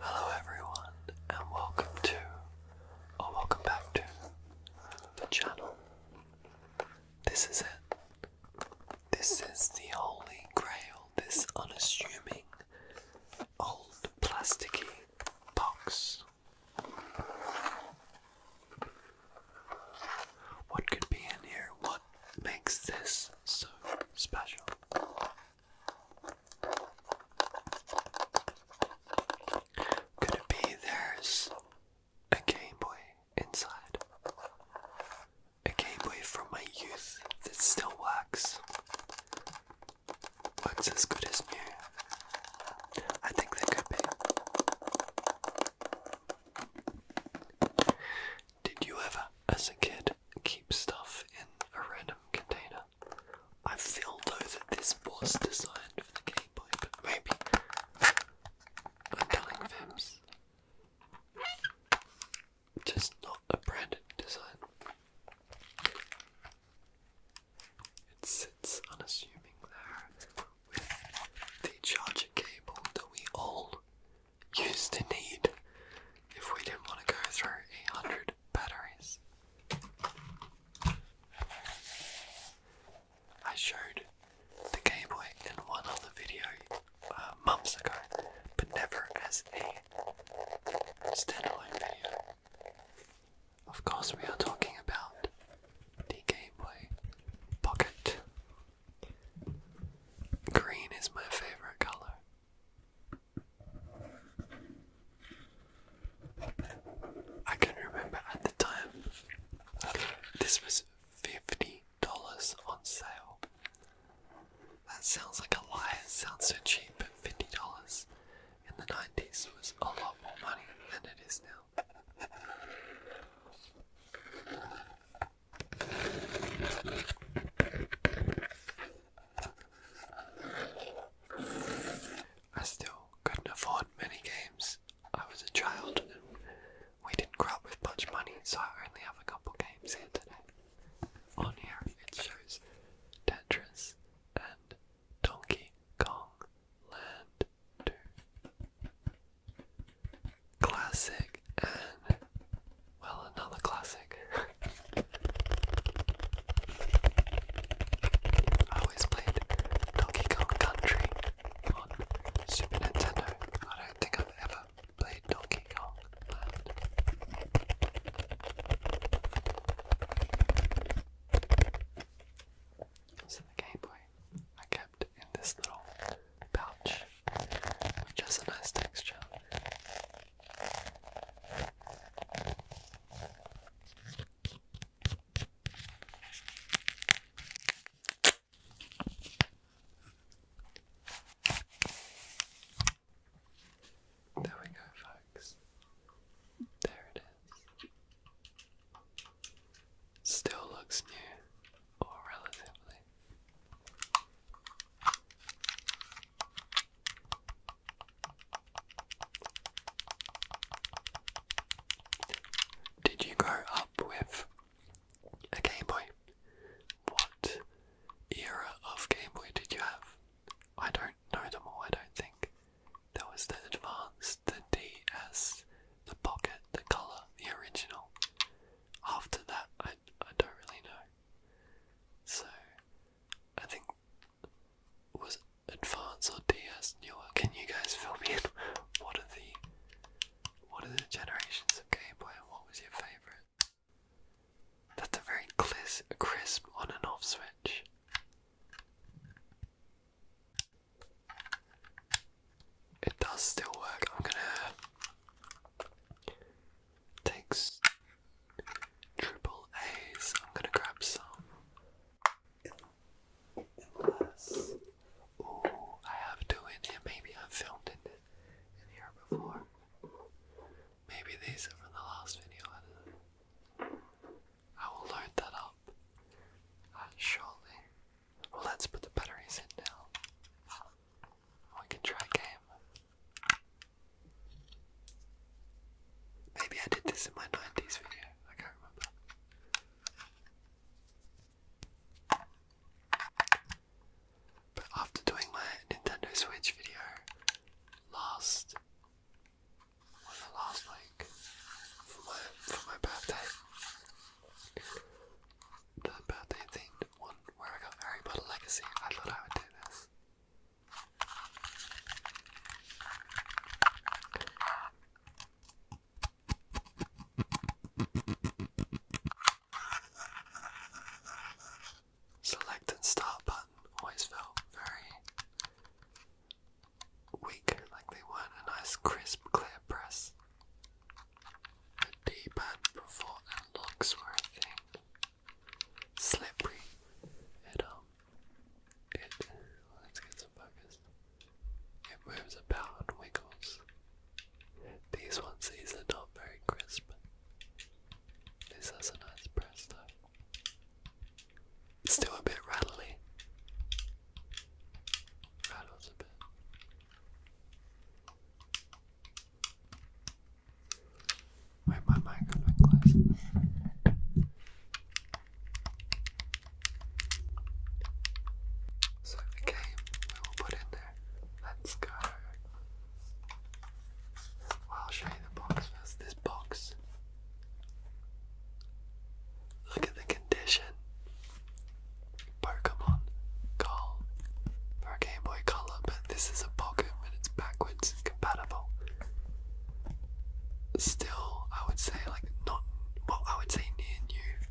Hello everyone and welcome to or welcome back to the channel. This is it. This is the holy grail, this unassuming old plasticky box. What could be in here? What makes this so special? Could it be there's a Game Boy inside? A Game Boy from my youth that still works. Works as good as new. I think there could be. Did you ever, as a kid, keep stuff in a random container? I feel though that this was designed for the Game Boy, but maybe I'm telling Vims. Just not a branded design. It sits unassuming there with the charger cable that we all used to need if we didn't want to go through hundred batteries. I showed the Game Boy in one other video uh, months ago, but never as a standalone video. Of course, we are talking about the Game Boy Pocket. Green is my favorite color. I can remember at the time this was fifty dollars on sale. That sounds like a lie, it sounds so cheap, but fifty dollars in the nineties was a lot more money than it is now. I still couldn't afford many games. I was a child and we didn't grow up with much money, so I only have a couple games here today. On here it shows Tetris and Donkey Kong Land 2. Classic and well, another classic. I always played Donkey Kong Country on Super Nintendo. I don't think I've ever played Donkey Kong Land. So the Game Boy I kept in this little pouch, which has a nice texture. There we go, folks. There it is. Still looks new, or relatively. Did you grow up with a Game Boy? What era of Game Boy did you have? I don't know them all, I don't think. There was the Advance, the DS, the Pocket, the Color, the original. After that, I I don't really know. So I think was Advance or DS newer? Can you guys fill me in? What are the what are the generations of Game Boy and what was your favourite? That's a very crisp on and off switch. It does still work. I'm gonna takes triple A's. I'm gonna grab some. Unless, oh, I have two in here. Maybe i filmed in, in here before. Maybe these are from the last video. I will load that up uh, Well, let's put the batteries in now. We can try game. Maybe I did this in my 90s video. I can't remember. But after doing my Nintendo Switch video last, one the last like for my for my birthday, the birthday themed one where I got Harry Potter Legacy. I thought I would do this. Select and start button always felt very weak, like they weren't a nice, crisp, clear press. The D pad before and locks were a slippery. It um, it let's get some focus. It moves about and wiggles. These ones, are not very crisp. This has a nice press though. still a bit rattly. Rattles a bit my mic glasses. So the game we will put in there. Let's go. I'll show you the box first. This box. Look at the condition. Pokemon Call. Pokemon Game Boy Color, but this is a pocket when it's backwards compatible. Still, I would say like not well, I would say near new.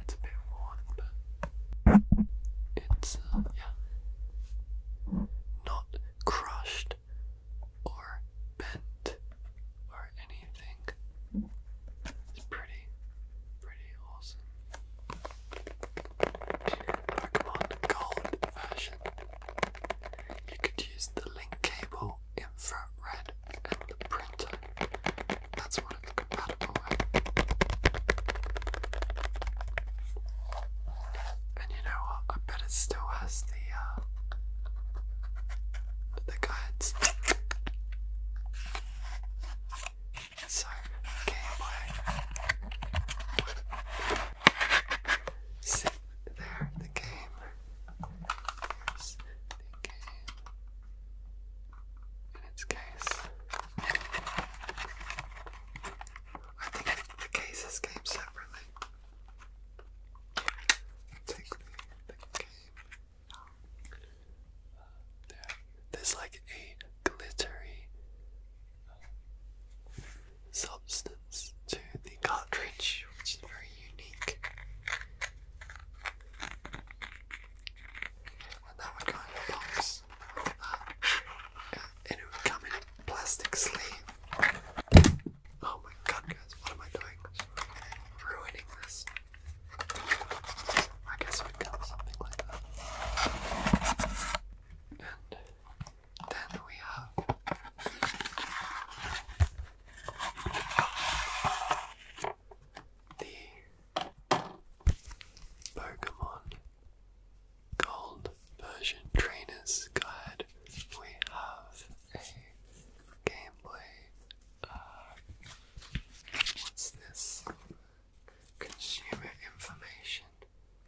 It's a bit worn, but it's uh, yeah, not crushed or bent or anything. It's pretty, pretty awesome. Pokemon Gold version. You could use the link cable, infrared, and the printer. That's what it's compatible with. And you know what? I bet it still has the uh, the guides. So, gameplay. See, there, the game. the game in its case. I think the cases came separately. Take the, the game. There. There's like a glittery substance to the cartridge, which is very unique. And that would go in a that. And it plastic sleeve. Oh my god, guys, what am I doing? ruining this. I guess it would something like that. And then we have the Pokemon Gold Version Trainer's Guide. We have a gameplay. Uh, what's this? Consumer information.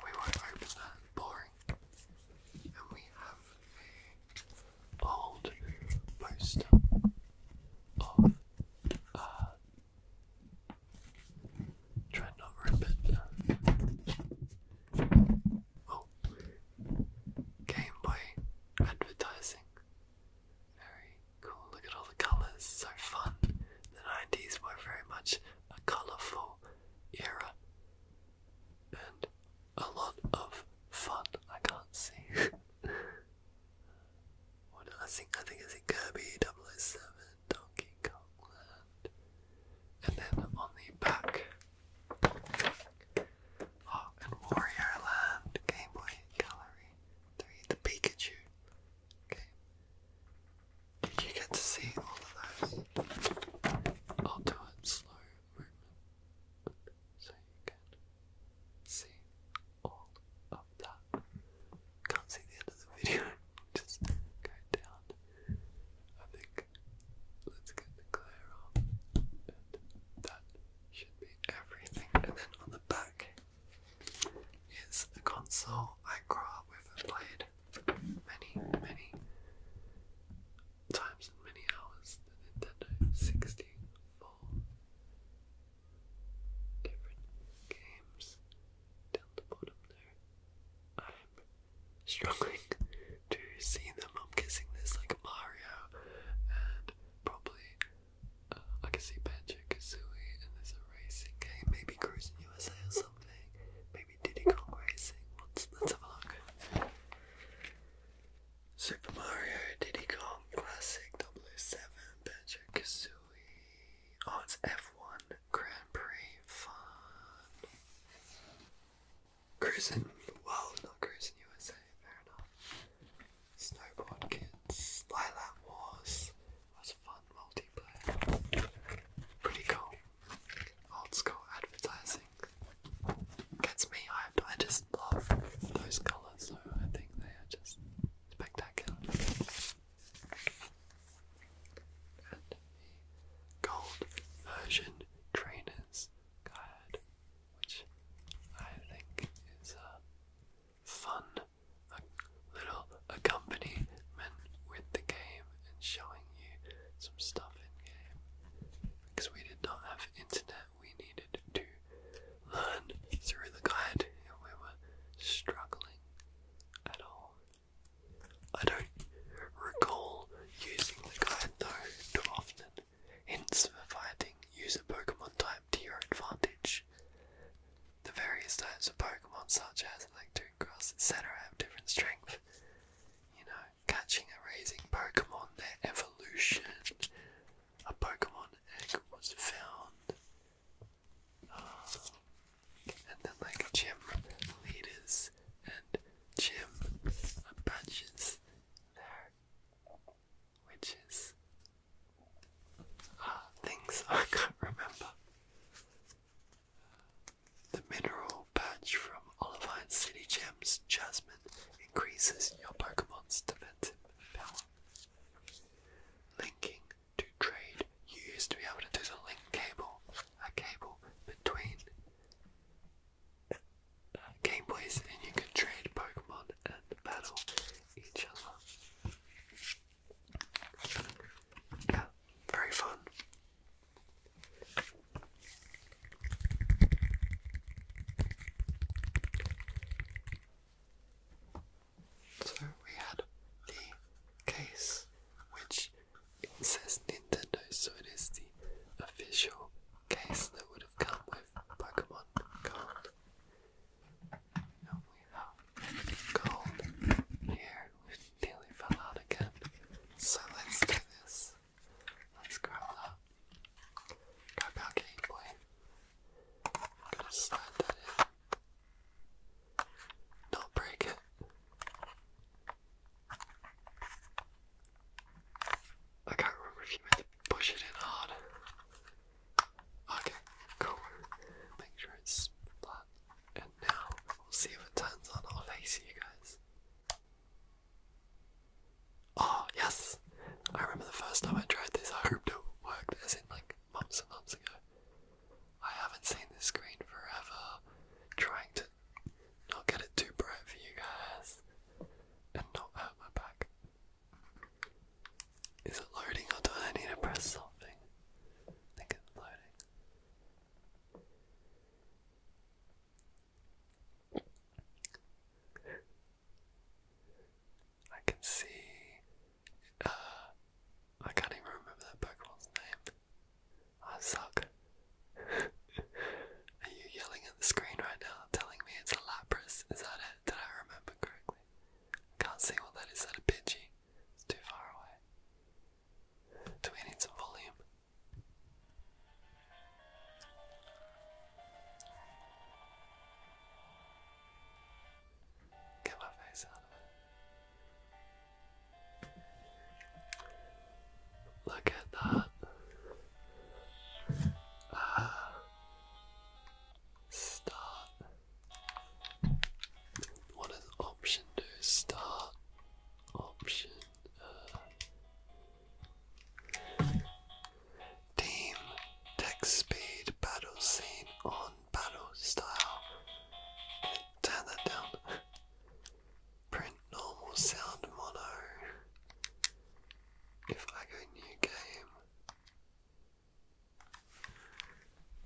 We won't open that. Boring. And we have old poster of uh not to rip it. Oh Game Boy advertising. Very cool, look at all the colours, so fun the 90s were very much a colorful era and a lot of fun. I can't see. what I think I think it's in Kirby 007, Donkey Kong Land. And then on the back Oh, and Wario Land, Game Boy Gallery 3, the Pikachu. Okay. Did you get to see all of those? I'll do it slow so you can see all of that. Can't see the end of the video. Just go down. I think let's get the glare on, and that should be everything. And then on the back, is a console I grew up with and played many, many times and many hours. The Nintendo 64. Different games. Down bottom there. I'm struggling to see them. I'm guessing there's like Mario and probably uh, I can see Banjo kazooie and there's a racing game, maybe Cruising USA or something, maybe Diddy Kong Racing, let's, let's have a look. Super Mario, Diddy Kong, Classic, 007, Banjo-Kazooie, oh it's F1, Grand Prix, fun. Cruising, well not Cruising USA, fair enough. Snowboard Kids, Lilac Wars, what fun multiplayer. Pretty cool. Old school advertising. Gets me hyped. I just love those colours, so I think they are just spectacular. And the gold version trainers which I think is uh, fun a little accompaniment with the game and showing you some stuff in game. Because we did not have internet, we needed to learn through the guide if we were struggling at all. I don't recall using the guide though too often. Hints for fighting, use a Pokemon type to your advantage. The various types of Pokemon, such as Electric, Grass, etc., have different strength. You know, catching and raising Pokemon, their evolution. A Pokemon egg was found. Ah. and then, like, gym leaders and gym badges there, which is things I can't remember. The mineral patch from Olivine City Gems Jasmine increases your Pokemon's defensive power. Linking to trade, you used to be able to do the link cable, a cable between game plays, and you could trade Pokemon and battle each other. Yeah, very fun. So we had the case which says Nintendo, so it is the official case that would have come with Pokemon Card. And we have gold here. We nearly fell out again. So let's do this. Let's grab that. Grab our game boy. i slide that in. Not break it. I can't remember if you push it in hard Okay, cool. Make sure it's flat. And now we'll see if it turns on our face, you guys. Oh, yes! I remember the first time I tried this, I hoped it would work. as in like months and months ago. I haven't seen this screen forever, trying to not get it too bright for you guys and not hurt my back. Is it loading or do I need to press something? I think it's loading. I can see. Uh, I can't even remember that Pokemon's name. I suck. Are you yelling at the screen right now, telling me it's a Lapras? Is that it? Did I remember correctly? I can't see what that is. Is that a Pidgey? It's too far away. Do we need some volume? Get my face out of it. Look at that. Ah. Stop. What does option do? Start option uh, team text speed battle scene on battle style. Turn that down. Print normal sound mono. If I go new game.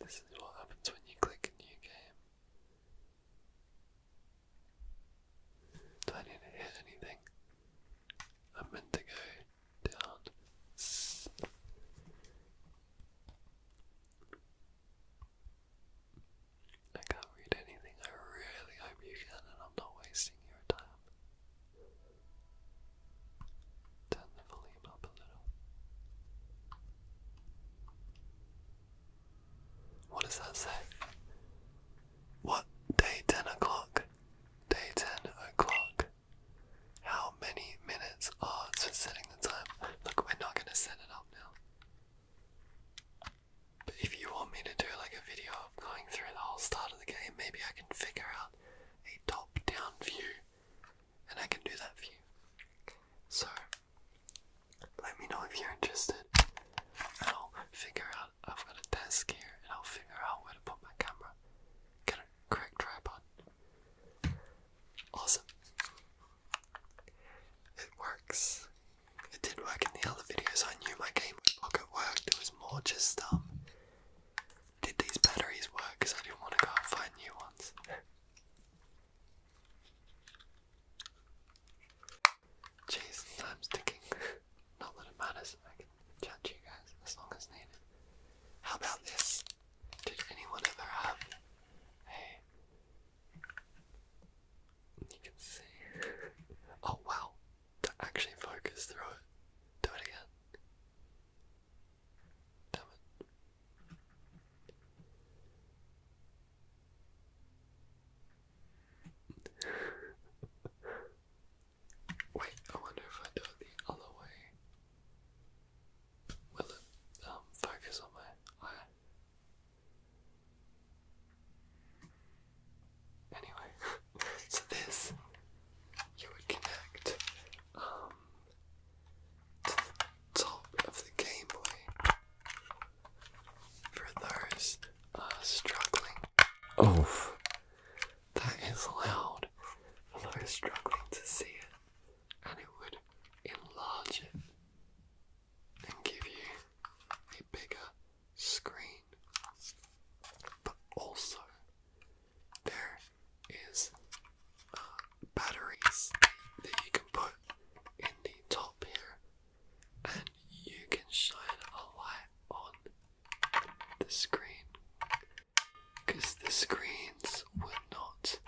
This is what happens when you click a new game. Do I need to hit anything? I meant to go down. I can't read anything. I really hope you can, and I'm not wasting your time. Turn the What does that say? What? Day 10 o'clock. Day 10 o'clock. How many minutes? Oh, it's for setting the time. Look, we're not going to set it up now. But if you want me to do like a video of going through the whole start of the game, maybe I can figure out a top down view and I can do that for you. So, let me know if you're interested, and I'll figure out. I've got a desk here, and I'll figure out where to put my camera. Get a correct tripod. Awesome. It works. It did work in the other videos I knew my Game Pocket worked. It was more just um did these batteries work? Because I didn't want to go and find new ones. Jeez, time's ticking. Not that it matters, I can chat you guys as long as needed. How about this? Did anyone ever have a. You can see. Oh wow! To actually focus through it. Do it again. Damn it. Wait, I wonder if I do it the other way. Will um, focus on my eye? Anyway, so this you would connect um, top of the gameplay for those uh, struggling. Oh, that is loud. For those struggling to see it, and it would enlarge it and give you a bigger screen, but also there is uh, batteries that you can put in the top here and you can shine a light on the screen because the screens not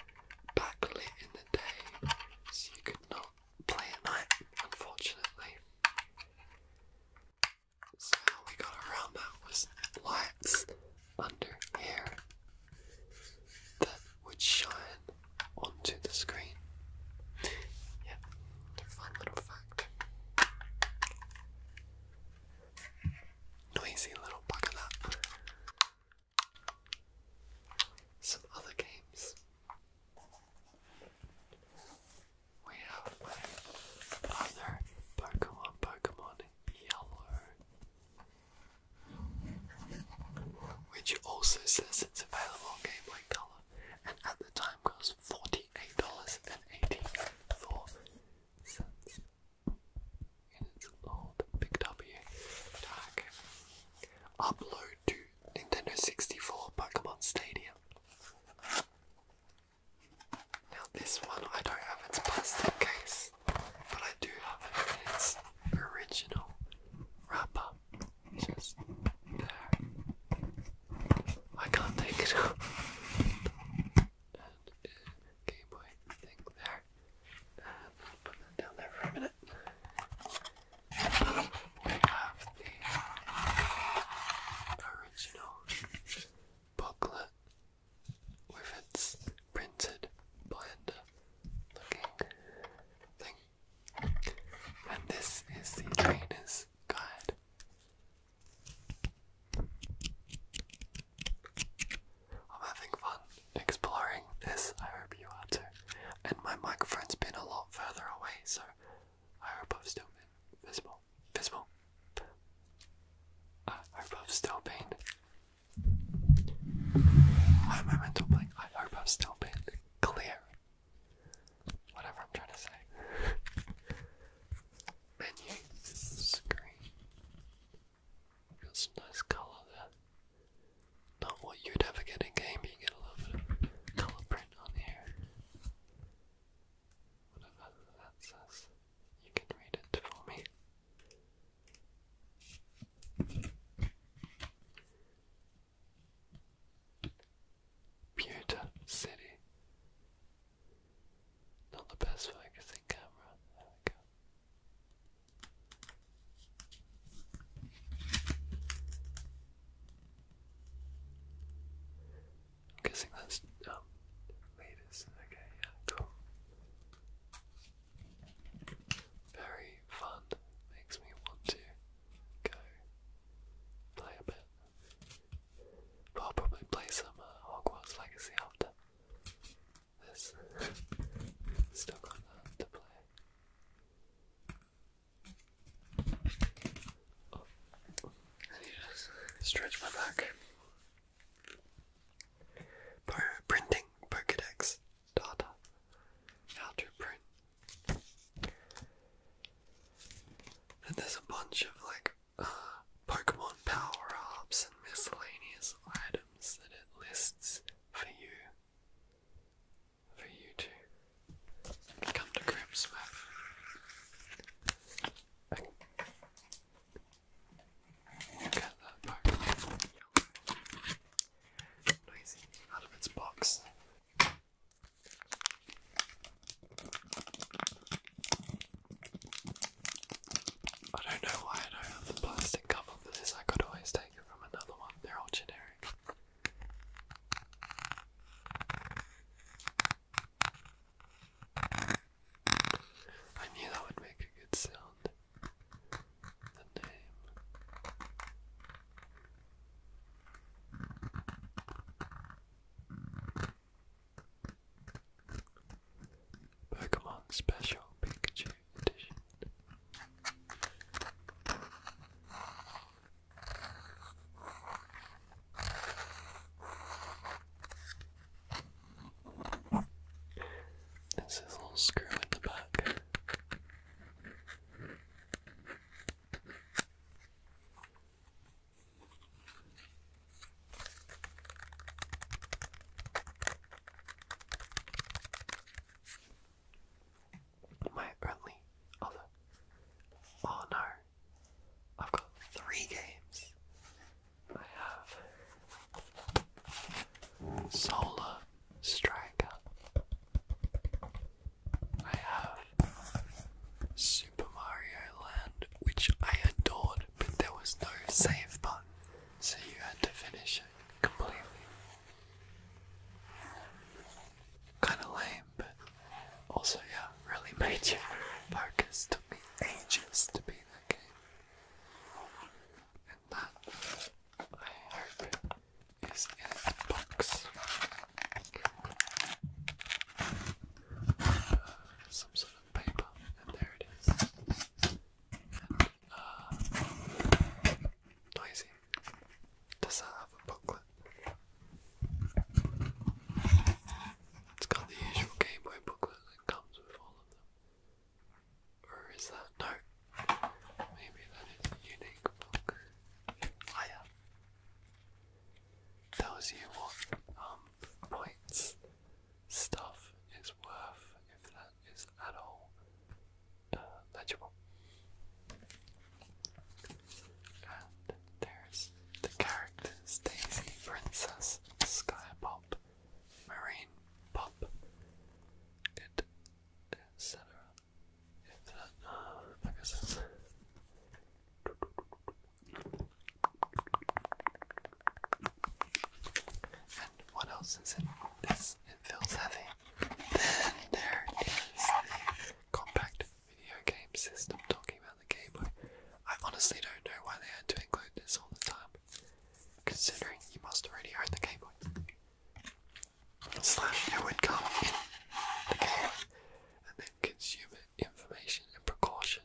backlit in the day so you could play at night unfortunately so we got around that was lights under here that would shine onto the screen. Yeah, fun little fact. Noisy little bugger Some other games. We have other Pokemon, Pokemon Yellow which also says it's available on Game Boy Color, and at the time cost forty-eight dollars and eighty-four cents. And it's old Big W tag. Upload to Nintendo sixty-four Pokemon Stadium. Now this one I don't have its plastic case, but I do have its original wrapper. Just there. I can't take it out. And uh, Game Boy thing there. And put that down there for a minute. We have the original booklet with its printed blend looking thing. And this is the trainer's guide. I'm having fun exploring this. I hope you are too. And my microphone's been a lot further away, so I hope I've still been visible visible. Ah, I hope I'm still pain. Why am I mental blank? I hope I'm still being clear. Whatever I'm trying to say. Menu screen. Got some nice colour there. Not what you'd ever get in game, you get a little colour print on here. Whatever that says you can read it for me. City. Not the best focusing camera. There we go. I'm guessing that's um Okay, yeah, cool. Very fun. Makes me want to go play a bit. But I'll probably play some uh, Hogwarts Legacy after this. Still got that to play. Oh. stretch my back printing Pokedex data. How to print. And there's a bunch of like Pokemon power ups and miscellaneous items that it lists for you. For you to come to grips with. Get that back. Noisy. Out of its box. I don't know why I don't have the plastic cover for this. I could always take it from another one. They're all generic. I knew that would make a good sound. The name. Pokemon Special Pikachu Edition. This is a little screw in the back. My only other. Oh no, I've got three games. I have Solar Striker. I have Super Mario Land, which I adored, but there was no save button, so you had to finish it completely. Kinda lame, but also, yeah, really made you focus. Took me ages to beat playing And that, I hope, is in its box. some sort of paper, and there it is. noisy. Does that have a booklet? It's got the usual Game Boy booklet, comes with all of them. Or is that no? Maybe that is a unique book. Liar. Tells you what um points stuff is worth if that is at all uh, legible. And there's the characters Daisy Princess, Sky Pop, Marine Pop, etc. Uh, what else is in this? It feels heavy. Then there is compact video game system talking about the game. I, I honestly don't know why they had to include this all the time, considering you must already own the Game Boy. Slash, you would come in the game and then consumer information and precaution.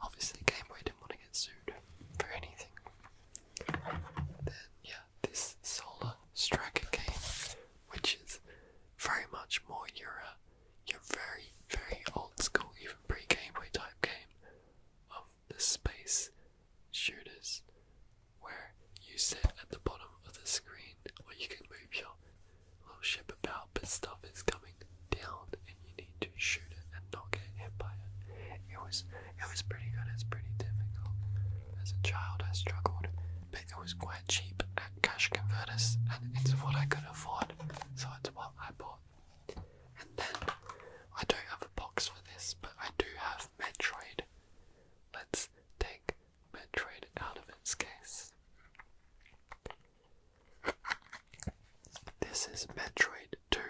Obviously, Game Boy didn't want to get sued for anything. Then, yeah, this Solar Striker game, which is very much more your uh, your very, very old school, even pre Game type game of the space shooters where you sit at the bottom of the screen or you can move your little ship about, but stuff is coming down and you need to shoot it and not get hit by it. It was it was pretty good, it's pretty difficult. As a child I struggled, but it was quite cheap at cash converters and it's what I could afford, so it's what I bought. And then I don't have a box for this, but I do have Metroid. Let's take Metroid out of its case. This is Metroid 2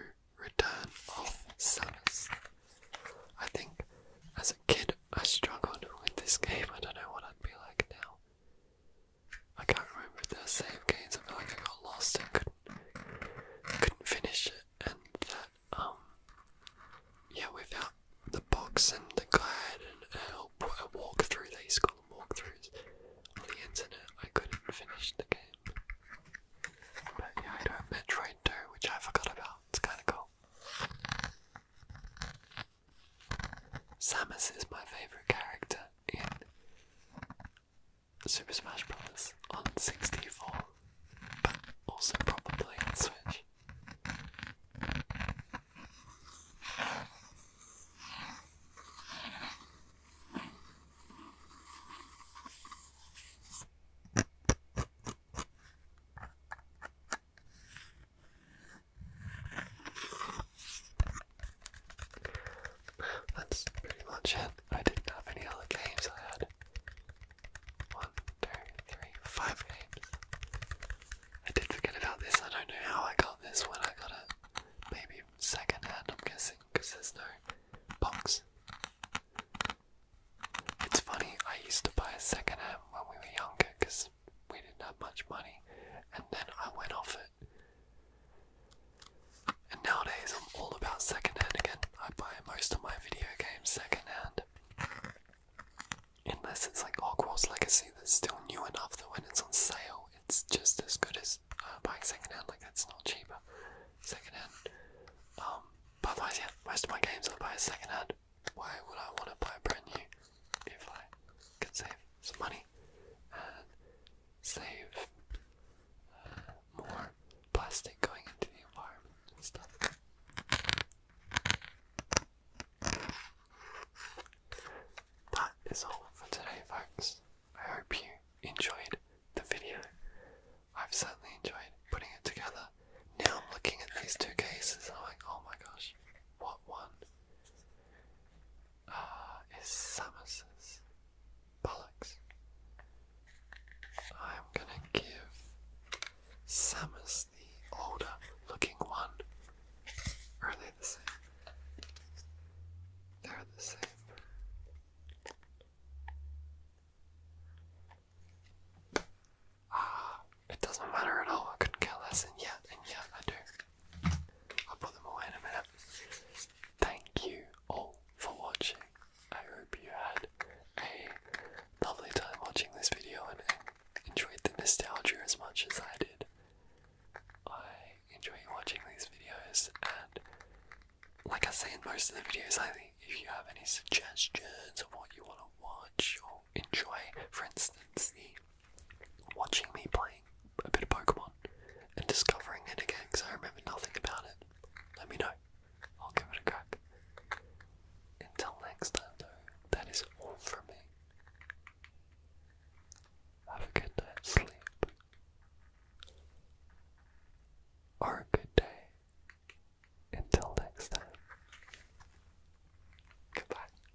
Return of Samus. I think as a kid I struggled with this game. I don't know what I'd be like now. I can't remember if save games. I feel like I got lost and couldn't, couldn't finish it. And that, um, yeah, without the box and the guide and a, a walkthrough, they used to call them walkthroughs on the internet, I couldn't finish the game. But yeah, I do have Metroid 2, which I forgot about. It's kind of cool. Samus is my favourite character in Super Smash Bros. on 64, but also probably on Switch. That's pretty much it. I didn't have any other games. I had one, two, three, five I did forget about this. I don't know how I got this when I got it. Maybe second I'm guessing, because there's no box. It's funny, I used to buy a when we were younger because we didn't have much money, and then I went off and nowadays, I'm all about secondhand again. I buy most of my video games secondhand. Unless it's like Hogwarts Legacy that's still new enough that when it's on sale, it's just as good as uh, buying secondhand. Like, that's not cheaper. Secondhand. Um, otherwise, yeah, most of my games I buy secondhand. Why would I want to buy brand new if I could save some money uh, save uh, more plastic going into the environment and That is all for today, folks. I hope you enjoyed the video. I've certainly enjoyed putting it together. Now I'm looking at these two cases I'm like, oh my gosh, what one? uh, is Samus's bollocks. I'm gonna give Samus the older looking one. are they the same? They're the same. Ah, it doesn't matter at all. I couldn't care less, yet, and yet I I'll put them away in a minute. Thank you all for watching. I hope you had a lovely time watching this video and enjoyed the nostalgia as much as I did. I enjoy watching these videos, and like I say in most of the videos lately, if you have any suggestions of what you want to watch or enjoy, for instance, the watching me playing a bit of Pokemon and discovering it again because I remember nothing about it, let me know. I'll give it a crack. Until next time, though, that is all for me. Have a good night's sleep. Or a good day. Until next time. Goodbye.